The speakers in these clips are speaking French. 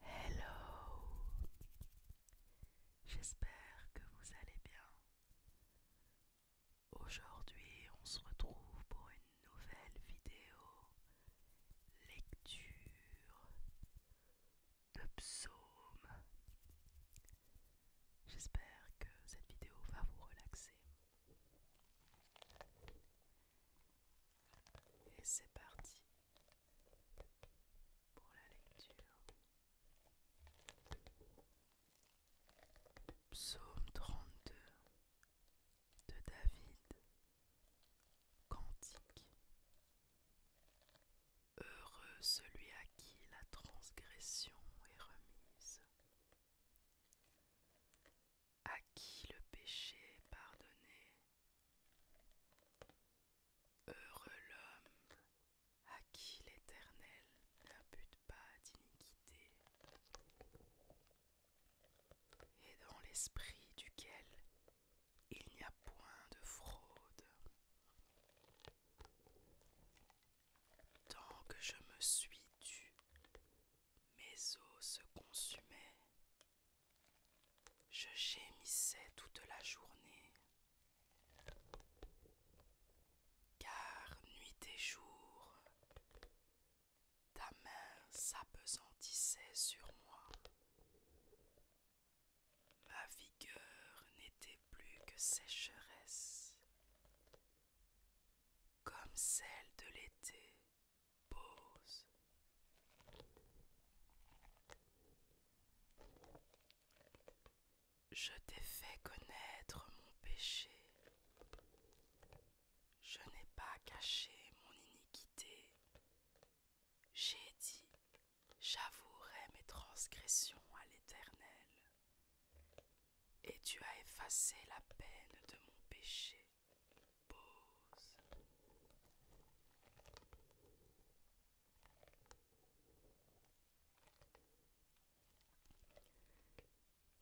Hello J'espère que vous allez bien. Aujourd'hui on se retrouve pour une nouvelle vidéo lecture de psaume. J'espère que cette vidéo va vous relaxer. Et c'est parti pour la lecture. Psaume 32 de David. Cantique. Heureux celui à qui la transgression est remise à qui le péché est pardonné. Heureux l'homme à qui l'Éternel n'impute pas d'iniquité, et dans l'esprit duquel il n'y a point de fraude. Tant que je me suis tu, mes os se consumaient. Je gémissais toute la journée. Car nuit et jour, ta main s'apesantissait sur moi. Ma vigueur n'était plus que sécheresse, comme celle de l'été pause. Je t'ai fait connaître mon péché. Je n'ai pas caché mon iniquité. J'ai dit, j'avouerai mes transgressions à l'Éternel. Et tu as effacé la peine de mon péché.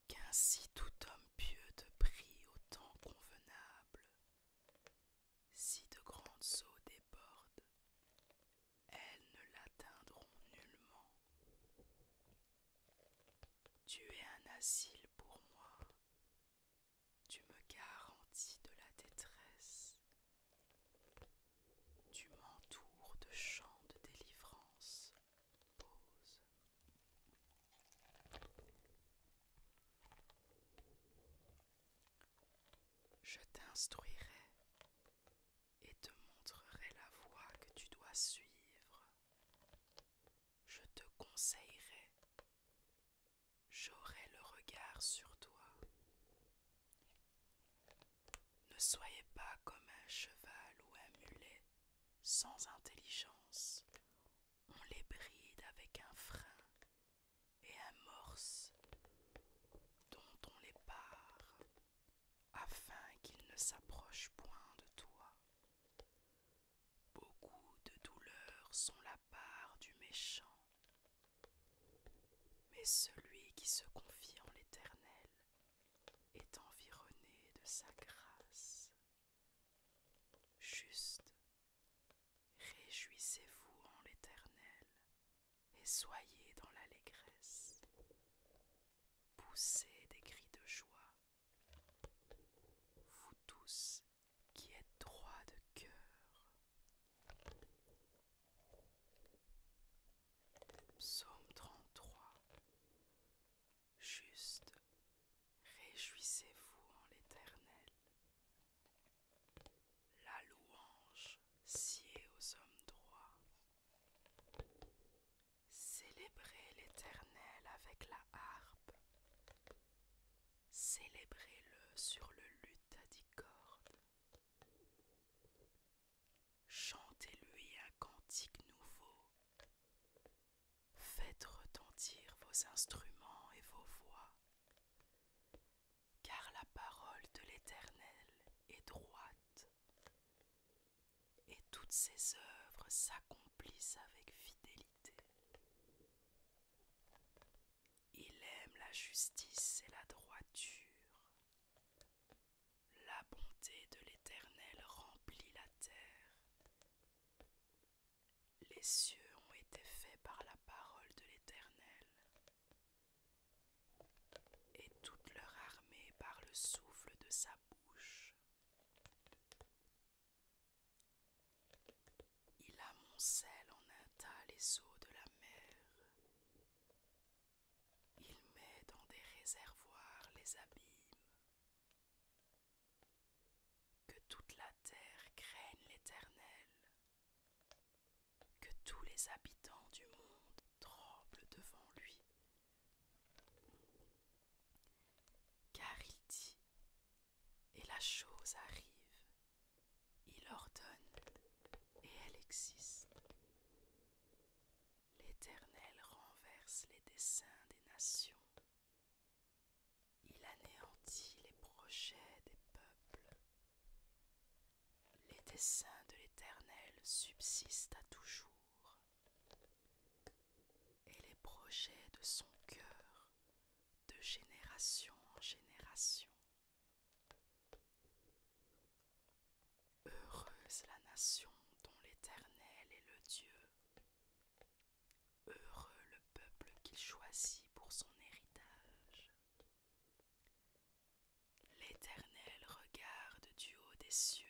Qu'ainsi tout homme pieux te prie au temps convenable, si de grandes eaux débordent, elles ne l'atteindront nullement. Tu es un asile pour moi. Tu me garantis de la détresse. Tu m'entoures de chants de délivrance. Pause. Je t'instruirai et te montrerai la voie que tu dois suivre je te conseillerai, j'aurai le regard sur toi. Ne soyez pas comme un cheval ou un mulet sans intelligence. On les bride avec un frein et un morse dont on les part afin qu'ils ne s'approchent point de toi. Beaucoup de douleurs sont la part du méchant, mais celui qui se confie en l'Éternel est environné de sa grâce. Juste, réjouissez-vous en l'Éternel et soyez dans l'allégresse. Poussez des cris de joie vous tous qui êtes droits de cœur. Psaume 33 Juste, réjouissez-vous en l'Éternel. La louange sied aux hommes droits. Célébrez l'Éternel avec la harpe. Célébrez-le sur le luth à dix cordes. Chantez-lui un cantique nouveau. Faites retentir vos instruments et vos voix, car la parole de l'Éternel est droite, et toutes ses œuvres s'accomplissent avec fidélité. Il aime la justice et la droiture. La bonté de l'Éternel remplit la terre. Les cieux ont été faits par la parole de l'Éternel, et toute leur armée par le souffle de sa bouche. Il amoncelle en un tas les eaux de la mer. Il met dans des réservoirs les abîmes. Que toute la terre craigne l'Éternel, que tous les habitants du monde tremblent devant lui car il dit, et la chose arrive, il ordonne, et elle existe. L'Éternel renverse les desseins des nations. Il anéantit les projets des peuples. Les desseins de l'Éternel subsistent à toujours, et les projets de son cœur de génération en génération. Heureuse la nation dont l'Éternel est le Dieu. Heureux le peuple qu'il choisit pour son héritage. L'Éternel regarde du haut des cieux,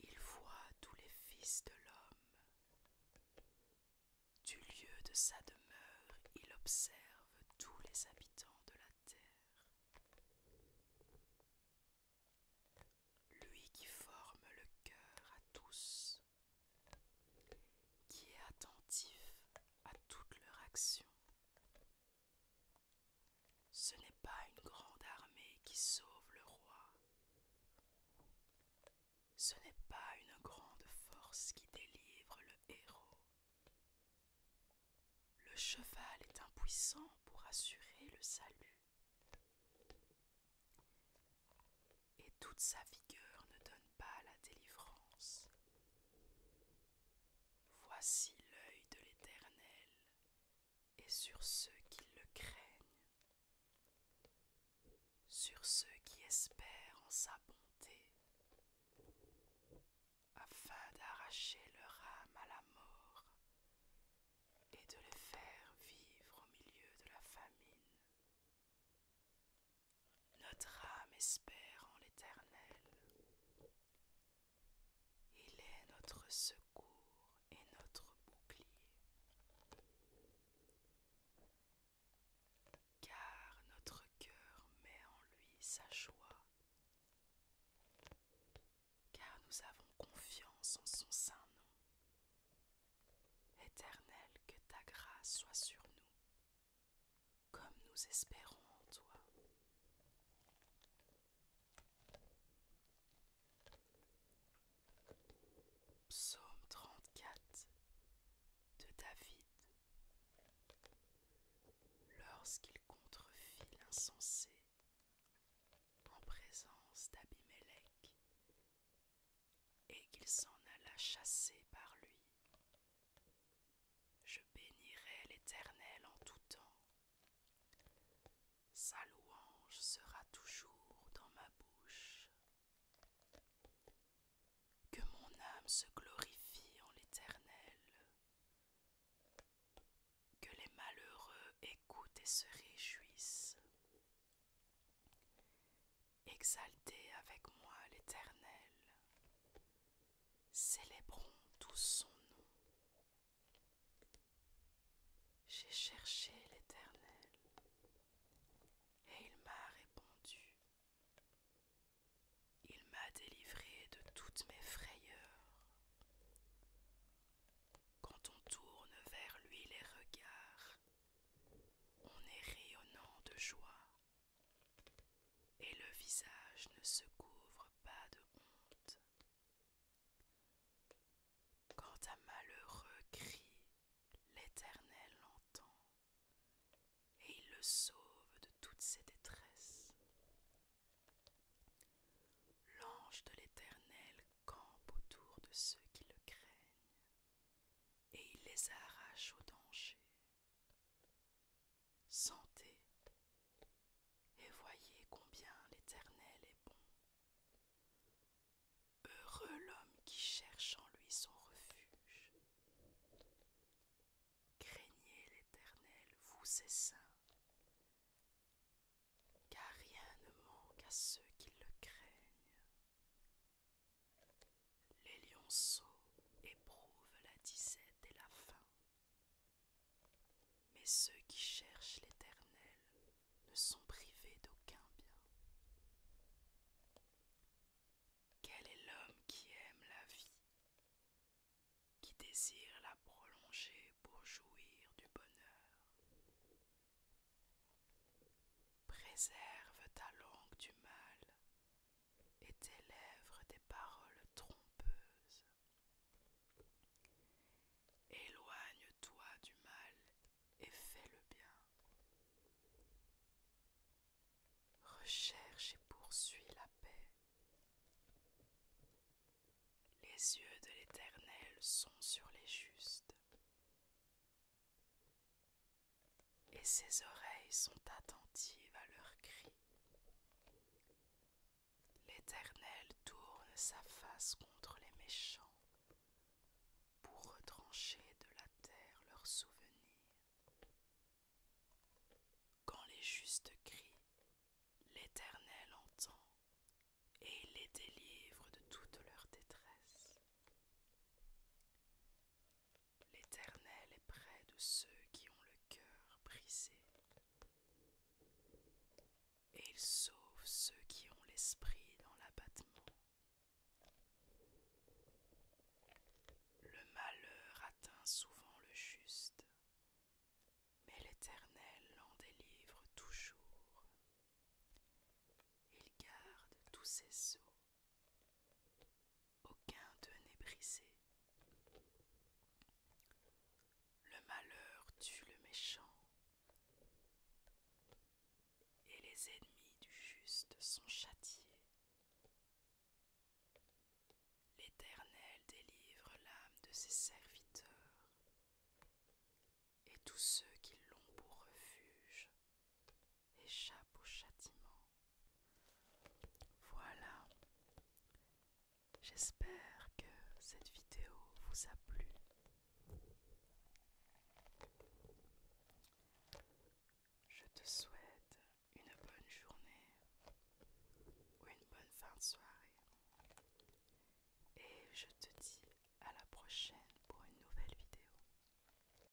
il voit tous les fils de l'homme. Du lieu de sa demeure, il observe tous les habitants de la terre. Lui qui forme le cœur à tous, qui est attentif à toutes leur actions. Ce n'est pas une grande armée qui sauve le roi. Ce n'est pas une grande force qui délivre le héros. Le cheval est impuissant pour assurer le salut. Et toute sa vigueur ne donne pas la délivrance. Voici l'œil de l'Éternel et sur ceux qui le craignent, sur ceux qui espèrent en sa bonté, afin d'arracher leur âme à la mort et de les faire vivre au milieu de la famine. Notre âme espère en l'Éternel. Il est notre secours et notre bouclier. Car notre cœur met en lui sa joie. Car nous avons confiance en son saint nom. Éternel, que ta grâce soit sur nous comme nous espérons en toi. Psaume 34 de David Lorsqu'il contrefit l'insensé en présence d'Abimelech et qu'il s'en alla chasser par lui je bénirai l'Éternel en tout temps. Sa louange sera toujours dans ma bouche. Que mon âme se glorifie en l'Éternel. Que les malheureux écoutent et se réjouissent. Exaltez avec moi l'Éternel. Célébrons tous son nom. J'ai cherché l'Éternel, et il m'a répondu. Il m'a délivré de toutes mes frayeurs. Quand on tourne vers lui les regards, on est rayonnant de joie et le visage ne se couvre pas de honte. Quand un malheureux crie, l'Éternel l'entend, et il le sauve de toutes ses détresses. L'ange de l'Éternel campe autour de ceux qui le craignent, et il les arrache au danger. Sentez et voyez combien l'Éternel est bon. Heureux l'homme qui cherche en lui son refuge. Craignez l'Éternel, vous ses saints, car rien ne manque à ceux qui le craignent. Les lionceaux éprouvent la disette et la faim. Mais ceux qui cherchent l'Éternel ne sont privés d'aucun bien. Quel est l'homme qui aime la vie, qui désire la prolonger pour jouir du bonheur Préserve ta langue du mal et tes lèvres des paroles trompeuses. Éloigne-toi du mal et fais le bien. Recherche et poursuis la paix. Les yeux de l'Éternel sont sur les justes et ses oreilles sont attentives à leurs cris. L'Éternel tourne sa face contre les méchants pour retrancher de la terre leurs souvenirs. Quand les justes crient, l'Éternel entend et il les délivre de toute leur détresse. L'Éternel est près de ceux qui ont le cœur brisé, et il sauve ceux qui ont l'esprit dans l'abattement. Le malheur atteint souvent le juste, mais l'Éternel l'en délivre toujours. Il garde tous ses os aucun d'eux n'est brisé. Le malheur tue le méchant, et les ennemis du juste sont châtiés. L'Éternel délivre l'âme de ses serviteurs, et tous ceux qui l'ont pour refuge échappe au châtiment. Voilà. J'espère que cette vidéo vous a plu. Je te souhaite une bonne journée ou une bonne fin de soirée. Et je te dis à la prochaine pour une nouvelle vidéo.